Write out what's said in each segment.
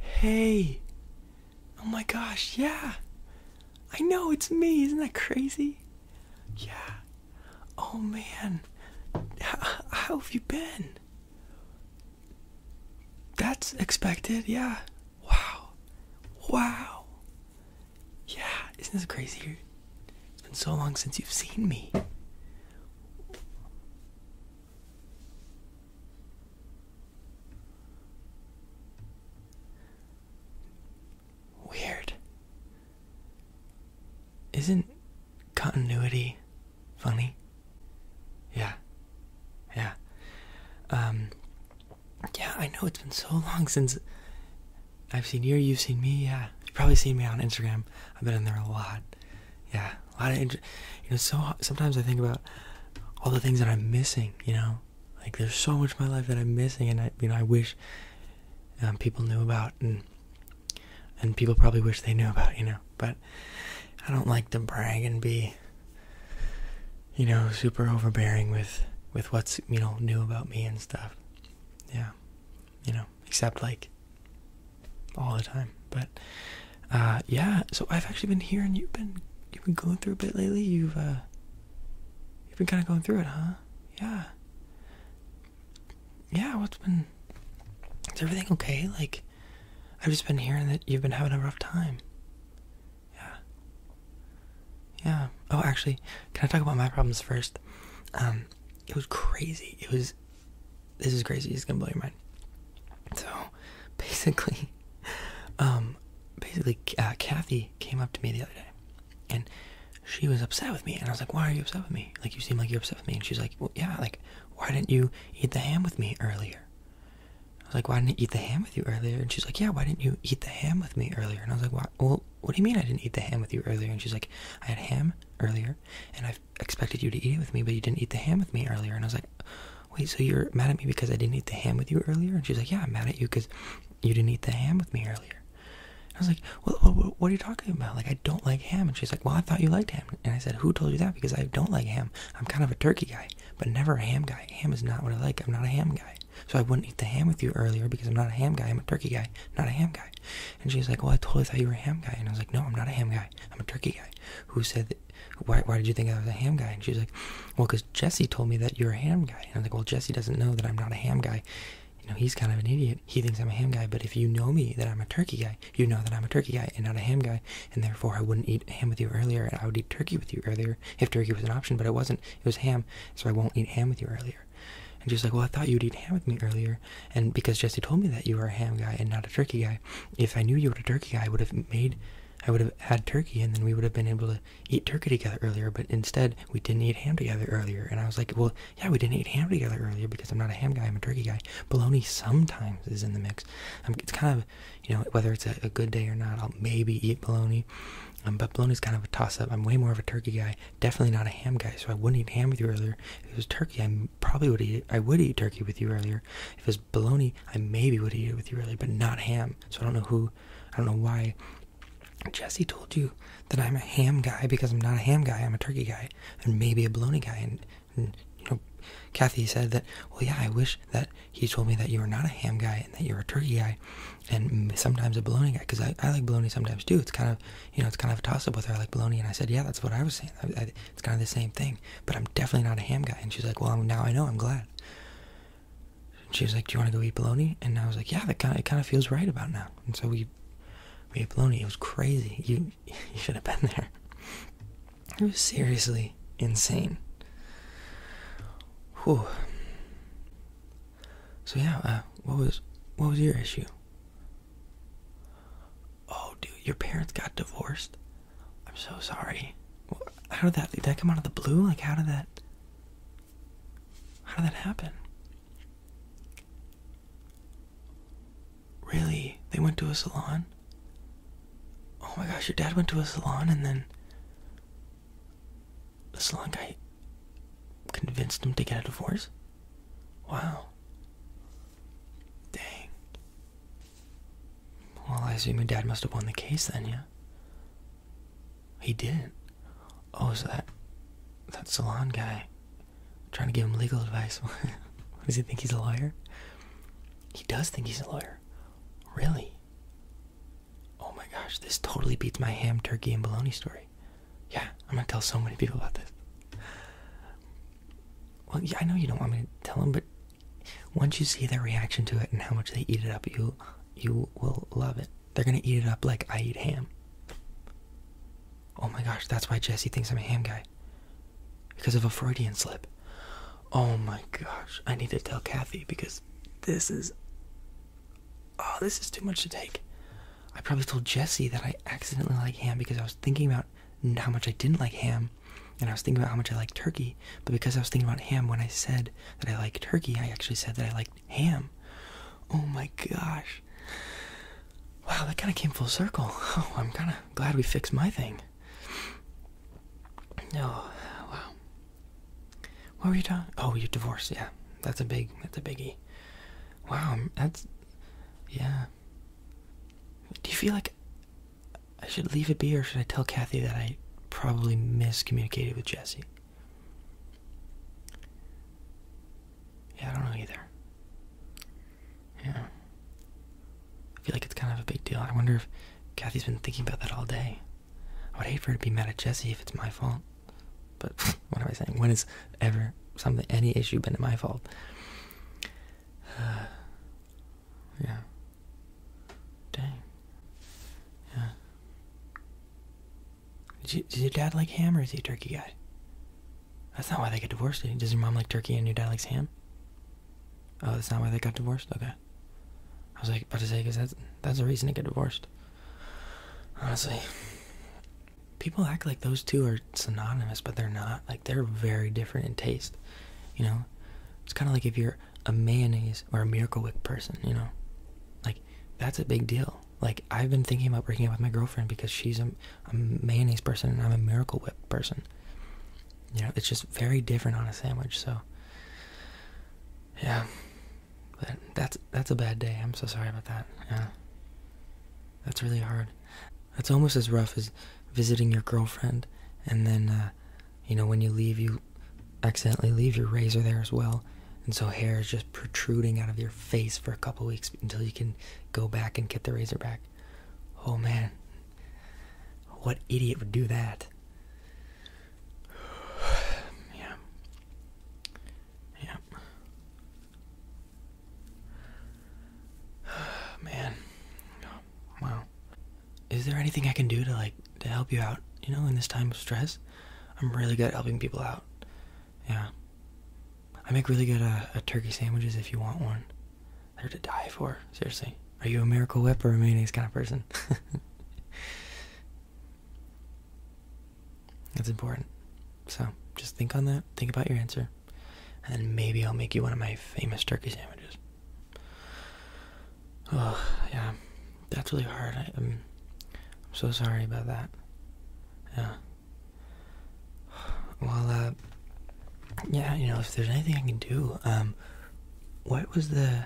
Hey! Oh my gosh, yeah! I know, it's me! Isn't that crazy? Yeah. Oh man, how, have you been? That's expected, yeah. Wow. Wow. Yeah, isn't this crazy? It's been so long since you've seen me. Weird. Isn't continuity funny? Yeah. Yeah. Um yeah, I know it's been so long since I've seen you, you've seen me, yeah. You've probably seen me on Instagram. I've been in there a lot. Yeah, a lot of you know so sometimes i think about all the things that i'm missing you know like there's so much of my life that i'm missing and i you know i wish um, people knew about and and people probably wish they knew about you know but i don't like to brag and be you know super overbearing with with what's you know new about me and stuff yeah you know except like all the time. But uh, yeah, so I've actually been hearing you've been you've been going through a bit lately. You've uh, you've been kind of going through it, huh? Yeah. Yeah, what's been? Is everything okay? Like, I've just been hearing that you've been having a rough time. Yeah. Yeah. Oh, actually, can I talk about my problems first? Um, it was crazy. It was this is crazy. It's gonna blow your mind. So, basically, um, basically, uh, Kathy came up to me the other day, and she was upset with me. And I was like, "Why are you upset with me? Like, you seem like you're upset with me." And she's like, "Well, yeah. Like, why didn't you eat the ham with me earlier?" I was like, "Why didn't you eat the ham with you earlier?" And she's like, "Yeah. Why didn't you eat the ham with me earlier?" And I was like, "Why? Well, what do you mean I didn't eat the ham with you earlier?" And she's like, "I had ham earlier, and I have expected you to eat it with me, but you didn't eat the ham with me earlier. And I was like, wait, so you're mad at me because I didn't eat the ham with you earlier? And she's like, yeah, I'm mad at you because you didn't eat the ham with me earlier. I was like, what, what are you talking about? Like, I don't like ham. And she's like, well, I thought you liked ham. And I said, who told you that? Because I don't like ham. I'm kind of a turkey guy, but never a ham guy. Ham is not what I like. I'm not a ham guy. So I wouldn't eat the ham with you earlier because I'm not a ham guy. I'm a turkey guy, not a ham guy. And she's like, well, I totally thought you were a ham guy. And I was like, no, I'm not a ham guy. I'm a turkey guy." Who said, "Why? did you think I was a ham guy?" And she like, "Well, because Jesse told me that you're a ham guy." And I am like, "Well, Jesse doesn't know that I'm not a ham guy. You know, he's kind of an idiot. He thinks I'm a ham guy. But if you know me, that I'm a turkey guy, you know that I'm a turkey guy and not a ham guy. And therefore, I wouldn't eat ham with you earlier, and I would eat turkey with you earlier if turkey was an option. But it wasn't. It was ham, so I won't eat ham with you earlier." And she's like, "Well, I thought you'd eat ham with me earlier." And because Jesse told me that you are a ham guy and not a turkey guy, if I knew you were a turkey guy, I would have made, I would have had turkey, and then we would have been able to eat turkey together earlier. But instead, we didn't eat ham together earlier. And I was like, well, yeah, we didn't eat ham together earlier because I'm not a ham guy. I'm a turkey guy. Bologna sometimes is in the mix. Um, it's kind of, you know, whether it's a, good day or not, I'll maybe eat bologna. Um, but bologna is kind of a toss-up. I'm way more of a turkey guy, definitely not a ham guy. So I wouldn't eat ham with you earlier. If it was turkey, I probably would eat I would eat turkey with you earlier. If it was bologna, I maybe would eat it with you earlier, but not ham. So I don't know who, I don't know why. Jesse told you that I'm a ham guy because I'm not a ham guy. I'm a turkey guy and maybe a bologna guy. And, and you know, Kathy said that. Well, yeah, I wish that he told me that you were not a ham guy and that you're a turkey guy, and sometimes a bologna guy because I, I like bologna sometimes too. It's kind of you know it's kind of a toss up with her. I like bologna. And I said, yeah, that's what I was saying. it's kind of the same thing but I'm definitely not a ham guy. And she's like, well, now I know. I'm glad. And she was like, do you want to go eat polony?" And I was like, yeah, that kind of, it kind of feels right about now. And so we, we ate polony. It was crazy. You, you should have been there. It was seriously insane. So yeah, uh, what was what was your issue? Oh, dude, your parents got divorced. I'm so sorry. How did that? Did that come out of the blue? Like, how did that? How did that happen? Really? They went to a salon? Oh my gosh, your dad went to a salon and then the salon guy convinced him to get a divorce? Wow. Dang. Well, I assume your dad must have won the case then, yeah? He didn't. Oh, so that that salon guy trying to give him legal advice. Does he think he's a lawyer? He does think he's a lawyer. Really? Oh my gosh, this totally beats my ham, turkey, and bologna story. Yeah, I'm gonna tell so many people about this. Well, yeah, I know you don't want me to tell them, but once you see their reaction to it and how much they eat it up, you you will love it. They're gonna eat it up like I eat ham. Oh my gosh, that's why Jesse thinks I'm a ham guy. Because of a Freudian slip. Oh my gosh, I need to tell Kathy because this is. Oh, this is too much to take. I probably told Jesse that I accidentally like ham because I was thinking about how much I didn't like ham, and I was thinking about how much I like turkey. But because I was thinking about ham when I said that I like turkey, I actually said that I liked ham. Oh my gosh! Wow, that kind of came full circle. Oh, I'm kind of glad we fixed my thing. Oh, wow. What were you talking? Oh, your divorce. Yeah, that's a big. That's a biggie. Wow, that's. Yeah. Do you feel like I should leave it be, or should I tell Kathy that I probably miscommunicated with Jesse? Yeah, I don't know either. Yeah. I feel like it's kind of a big deal. I wonder if Kathy's been thinking about that all day. I would hate for her to be mad at Jesse if it's my fault. But what am I saying? When has ever something any issue been my fault? Yeah. Dang. Yeah. Did, your dad like ham or is he a turkey guy? That's not why they got divorced. Does your mom like turkey and your dad likes ham? Oh, that's not why they got divorced? Okay. I was like, about to say, because that's, that's the reason to get divorced. Honestly. People act like those two are synonymous, but they're not. Like, they're very different in taste you know it's kind of like if you're a mayonnaise or a miracle whip person you know like that's a big deal like i've been thinking about breaking up with my girlfriend because she's a, mayonnaise person and i'm a miracle whip person you know it's just very different on a sandwich so yeah but that's that's a bad day i'm so sorry about that yeah that's really hard that's almost as rough as visiting your girlfriend, and then, uh, you know, when you leave, you accidentally leave your razor there as well. And so hair is just protruding out of your face for a couple weeks until you can go back and get the razor back. Oh man, what idiot would do that? yeah. Yeah. Man. wow. Is there anything I can do to like to help you out, you know, in this time of stress? I'm really good at helping people out. Yeah. I make really good uh, turkey sandwiches if you want one. They're to die for, seriously. Are you a miracle whip or a mayonnaise kind of person? That's important. So just think on that, think about your answer, and maybe I'll make you one of my famous turkey sandwiches. Oh, yeah, that's really hard. I, am um, so sorry about that. Yeah. Well, uh, yeah, you know, if there's anything I can do, um, what was the,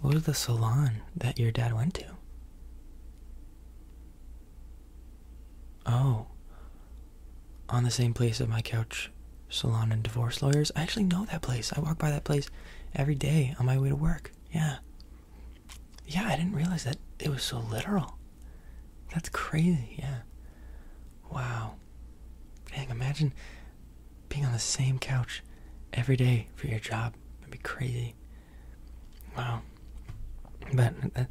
what was the salon that your dad went to? Oh, on the same place of my couch salon and divorce lawyers. I actually know that place. I walk by that place every day on my way to work. Yeah. Yeah, I didn't realize that it was so literal. That's crazy. Yeah. Wow. Dang, imagine being on the same couch every day for your job. That'd be crazy. Wow. But uh,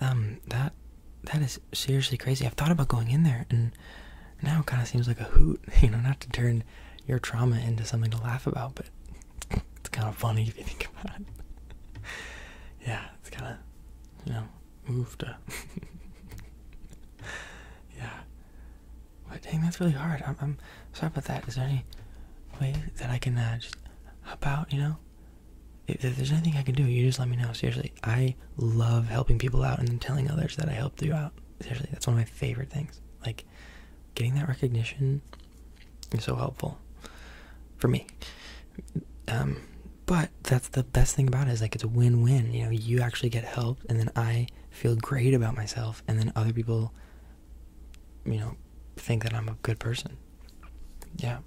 um that that is seriously crazy. I've thought about going in there, and now it kind of seems like a hoot, you know, not to turn your trauma into something to laugh about, but it's kind of funny if you think about it. yeah, it's kind of, you know, moved up. yeah. But dang, that's really hard. I'm, sorry about that. Is there any way that I can uh, just hop out, you know? if there's anything I can do, you just let me know. Seriously, I love helping people out and telling others that I helped you out. Seriously, that's one of my favorite things. Like getting that recognition is so helpful for me. Um, but that's the best thing about it is like it's a win-win. You know, you actually get helped, and then I feel great about myself, and then other people, you know, think that I'm a good person. Yeah.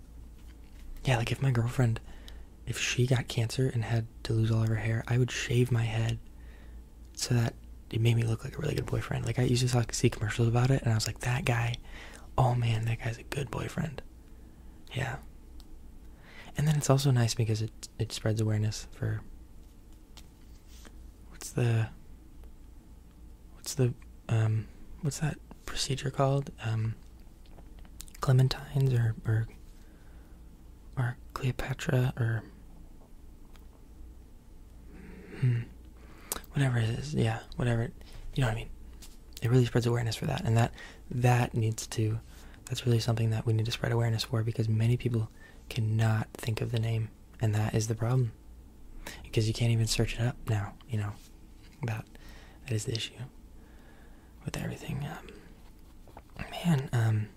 Yeah, like if my girlfriend if she got cancer and had to lose all of her hair, I would shave my head so that it made me look like a really good boyfriend. Like I used to see commercials about it, and I was like, that guy, oh man, that guy's a good boyfriend. Yeah. And then it's also nice because it it spreads awareness for. What's the. What's the um, what's that procedure called? Um, clementines or or or Cleopatra, or. Hmm, whatever it is, yeah, whatever. you know what I mean? It really spreads awareness for that, and that that needs to. That's really something that we need to spread awareness for because many people cannot think of the name, and that is the problem. Because you can't even search it up now, you know. That that is the issue with everything. Um, Man, um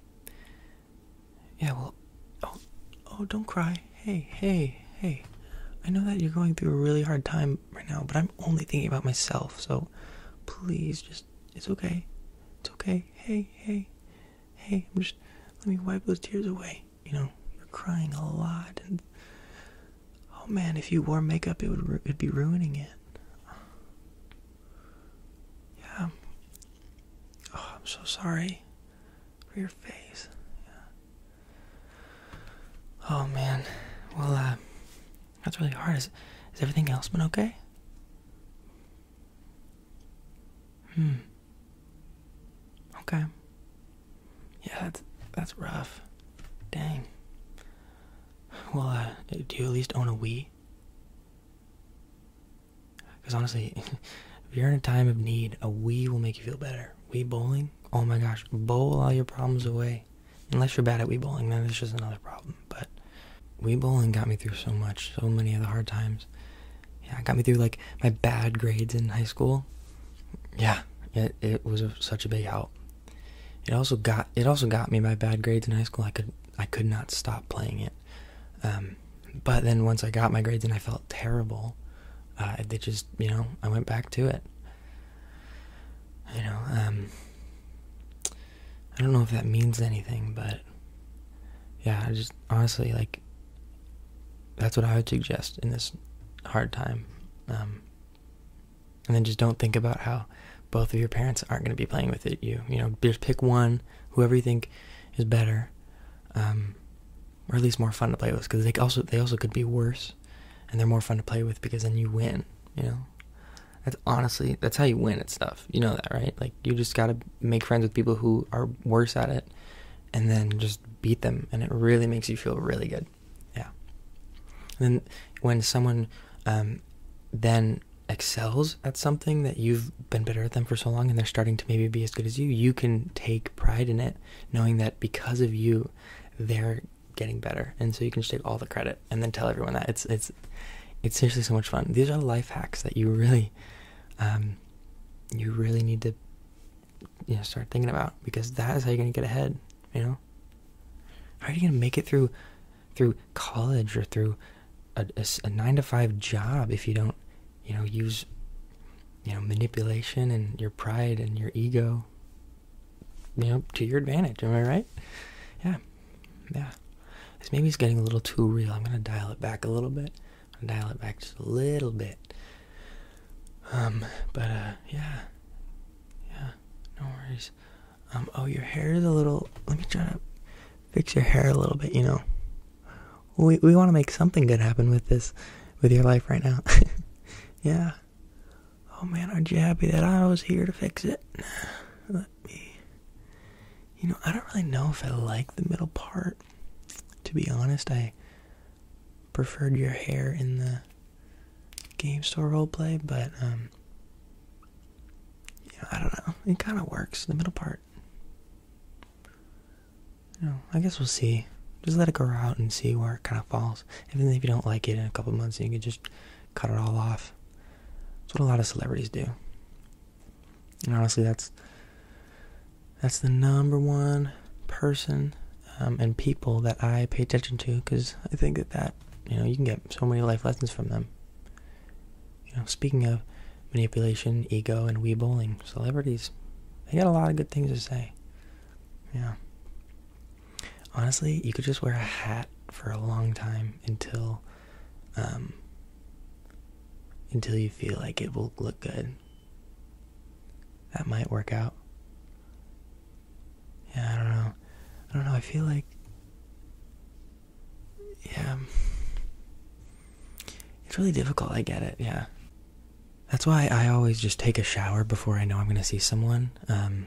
Yeah, well oh oh don't cry. Hey, hey, hey. I know that you're going through a really hard time right now, but I'm only thinking about myself, so please just it's okay. It's okay. Hey, hey, hey, just let me wipe those tears away. You know, you're crying a lot and Oh man, if you wore makeup, it would it'd be ruining it. Yeah. Oh, I'm so sorry for your face. Oh man. Well, uh, that's really hard. Is, everything else been okay? Hmm. Okay. Yeah, that's that's rough. Dang. Well, uh, do you at least own a Wii? Because honestly, if you're in a time of need, a wee will make you feel better. Wee bowling? Oh my gosh, bowl all your problems away. Unless you're bad at wee bowling, then that's just another problem. But wee bowling got me through so much, so many of the hard times. Yeah, it got me through like my bad grades in high school. Yeah, it, it was such a big help. It also got it also got me my bad grades in high school. I could I could not stop playing it. Um, but then once I got my grades and I felt terrible, uh, they just you know I went back to it. You know, um, I don't know if that means anything, but yeah, I just honestly like that's what I would suggest in this hard time. Um, and then just don't think about how both of your parents aren't going to be playing with it you you know just pick one whoever you think is better um, or at least more fun to play with because they also they also could be worse and they're more fun to play with because then you win you know that's honestly that's how you win at stuff you know that right like you just got to make friends with people who are worse at it and then just beat them and it really makes you feel really good yeah then when someone um, then excels at something that you've been better at them for so long and they're starting to maybe be as good as you, you can take pride in it, knowing that because of you, they're getting better. And so you can just take all the credit and then tell everyone that. It's it's it's seriously so much fun. These are life hacks that you really um you really need to you know start thinking about because that is how you're gonna get ahead, you know? How are you gonna make it through through college or through a, nine to five job if you don't you know use you know manipulation and your pride and your ego you know to your advantage am i right yeah yeah this maybe it's getting a little too real i'm gonna dial it back a little bit dial it back just a little bit um but uh yeah yeah no worries um, oh, your hair is a little. Let me try to fix your hair a little bit. You know, we we want to make something good happen with this, with your life right now. yeah. Oh man, aren't you happy that I was here to fix it? Let me. You know, I don't really know if I like the middle part. To be honest, I preferred your hair in the game store roleplay, but um, yeah, I don't know. It kind of works, the middle part. You know, I guess we'll see. Just let it go out and see where it kind of falls. Even if you don't like it in a couple months, you can just cut it all off. That's what a lot of celebrities do. And honestly, that's that's the number one person um, and people that I pay attention to because I think that that you know you can get so many life lessons from them. You know, speaking of manipulation, ego, and weebowling, celebrities, they got a lot of good things to say. Yeah. Honestly, you could just wear a hat for a long time until, um, until you feel like it will look good. That might work out. Yeah, I don't know. I don't know. I feel like yeah it's really difficult i get it yeah that's why i always just take a shower before i know i'm going to see someone um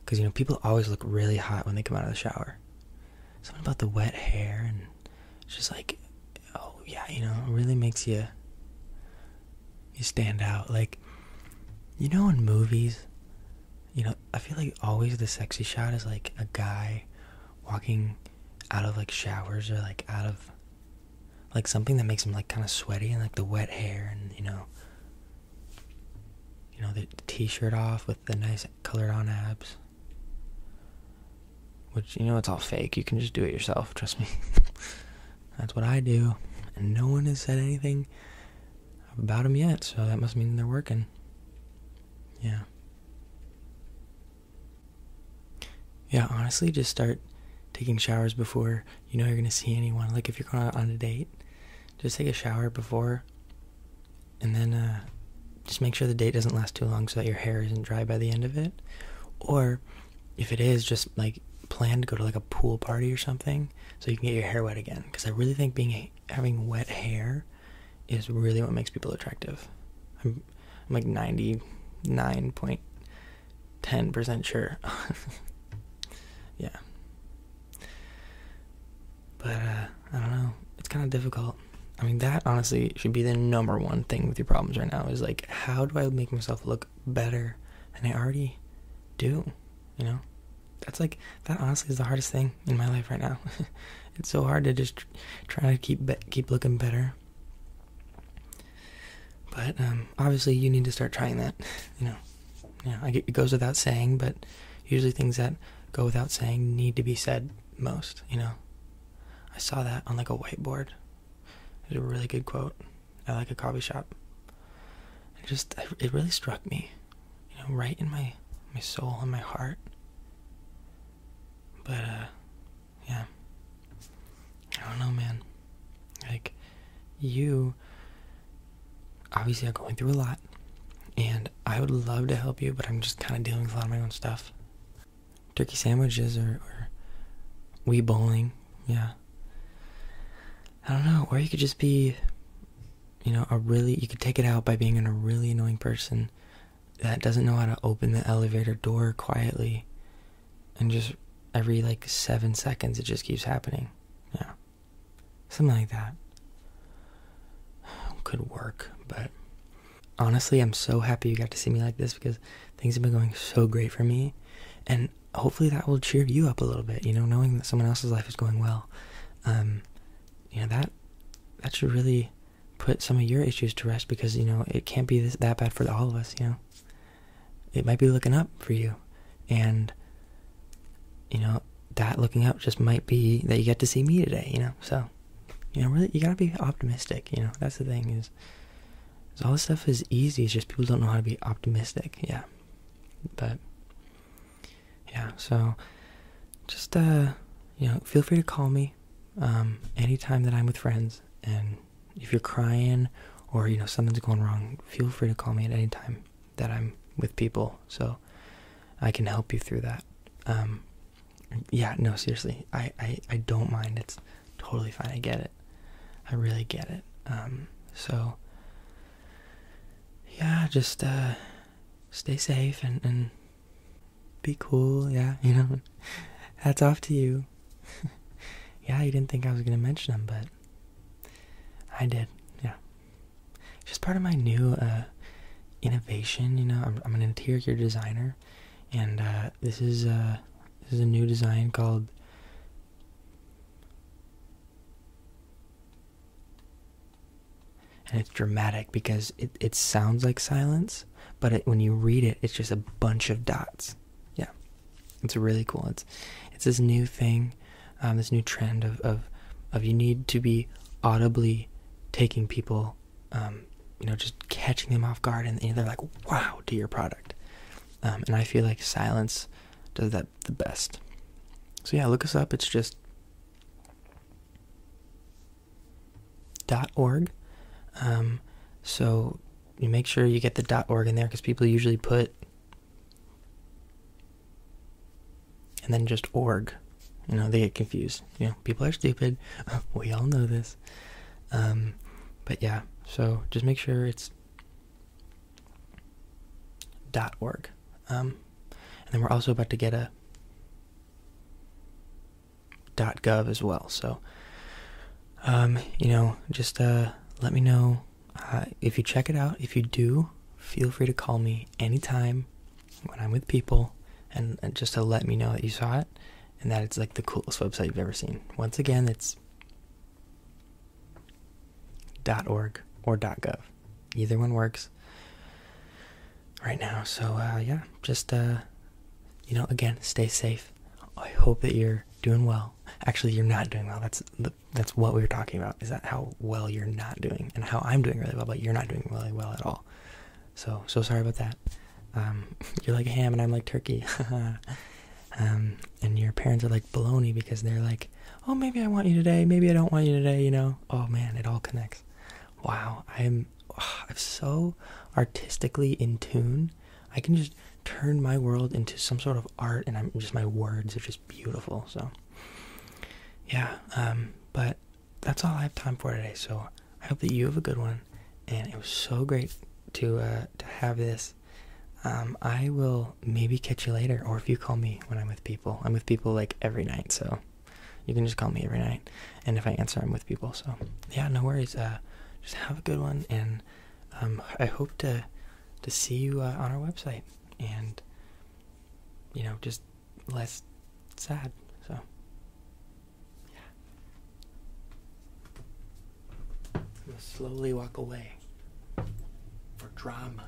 because you know people always look really hot when they come out of the shower something about the wet hair and just like oh yeah you know it really makes you you stand out like you know in movies you know, I feel like always the sexy shot is like a guy walking out of like showers or like out of like something that makes him like kind of sweaty and like the wet hair and you know you know the t-shirt off with the nice colored on abs which you know it's all fake you can just do it yourself trust me that's what i do and no one has said anything about him yet so that must mean they're working yeah yeah, honestly, just start taking showers before you know you're going to see anyone. Like if you're going on a date, just take a shower before and then uh, just make sure the date doesn't last too long so that your hair isn't dry by the end of it. Or if it is, just like plan to go to like a pool party or something so you can get your hair wet again. Because I really think being having wet hair is really what makes people attractive. I'm, I'm like 99.10% sure. yeah. But uh, I don't know. It's kind of difficult. I mean, that honestly should be the number one thing with your problems right now is like, how do I make myself look better And I already do? You know? That's like that honestly is the hardest thing in my life right now. it's so hard to just try to keep keep looking better. But um, obviously, you need to start trying that. You know, yeah, it goes without saying, but usually things that go without saying need to be said most. You know, I saw that on like a whiteboard. It's a really good quote at like a coffee shop. It just it really struck me you know, right in my my soul and my heart. But uh yeah. I don't know, man. Like you obviously are going through a lot and I would love to help you, but I'm just kind of dealing with a lot of my own stuff. Turkey sandwiches or, or bowling, yeah. I don't know, or you could just be, you know, a really, you could take it out by being a really annoying person that doesn't know how to open the elevator door quietly and just every like seven seconds it just keeps happening yeah something like that could work but honestly i'm so happy you got to see me like this because things have been going so great for me and hopefully that will cheer you up a little bit you know knowing that someone else's life is going well um you know that that should really put some of your issues to rest because you know it can't be that bad for all of us you know it might be looking up for you and you know that looking up just might be that you get to see me today you know so you know really you got to be optimistic you know that's the thing is, is all this stuff is easy it's just people don't know how to be optimistic yeah but yeah so just uh you know feel free to call me um anytime that i'm with friends and if you're crying or you know something's going wrong feel free to call me at any time that i'm with people so i can help you through that um yeah no seriously i i, I don't mind it's totally fine i get it i really get it um so yeah just uh stay safe and and be cool, yeah, you know. Hats off to you. yeah, you didn't think I was gonna mention them, but I did. Yeah, just part of my new uh, innovation. You know, I'm, an interior designer, and uh, this is uh, this is a new design called and it's dramatic because it, it sounds like silence but when you read it it's just a bunch of dots yeah it's really cool it's it's this new thing um, this new trend of, of of you need to be audibly taking people um, you know just catching them off guard and, they're like wow to your product um, and i feel like silence does that the best so yeah look us up it's just org. Um, so you make sure you get the org in there because people usually put and then just org. You know, they get confused. You know, people are stupid. we all know this. Um, but yeah, so just make sure it's .org. Um, and then we're also about to get a .gov as well. So, um, you know, just uh, let me know uh, if you check it out. If you do, feel free to call me anytime when I'm with people, and, just to let me know that you saw it and that it's like the coolest website you've ever seen. Once again, it's .org or .gov. Either one works right now. So uh, yeah, just uh, you know, again, stay safe. I hope that you're doing well. Actually, you're not doing well. That's that's what we were talking about. Is that how well you're not doing, and how I'm doing really well, but you're not doing really well at all. So so sorry about that. Um, you're like ham, and I'm like turkey. Um, and your parents are like baloney because they're like, oh, maybe I want you today, maybe I don't want you today. You know, oh man, it all connects. Wow, I'm I'm so artistically in tune. I can just turn my world into some sort of art, and I'm just my words are just beautiful. So, yeah. Um, but that's all I have time for today. So I hope that you have a good one, and it was so great to uh, to have this. Um, I will maybe catch you later, or if you call me when I'm with people. I'm with people like every night, so you can just call me every night and if i answer i'm with people so yeah no worries uh, just have a good one and um, i hope to to see you uh, on our website and you know just less sad so yeah i'm slowly walk away for drama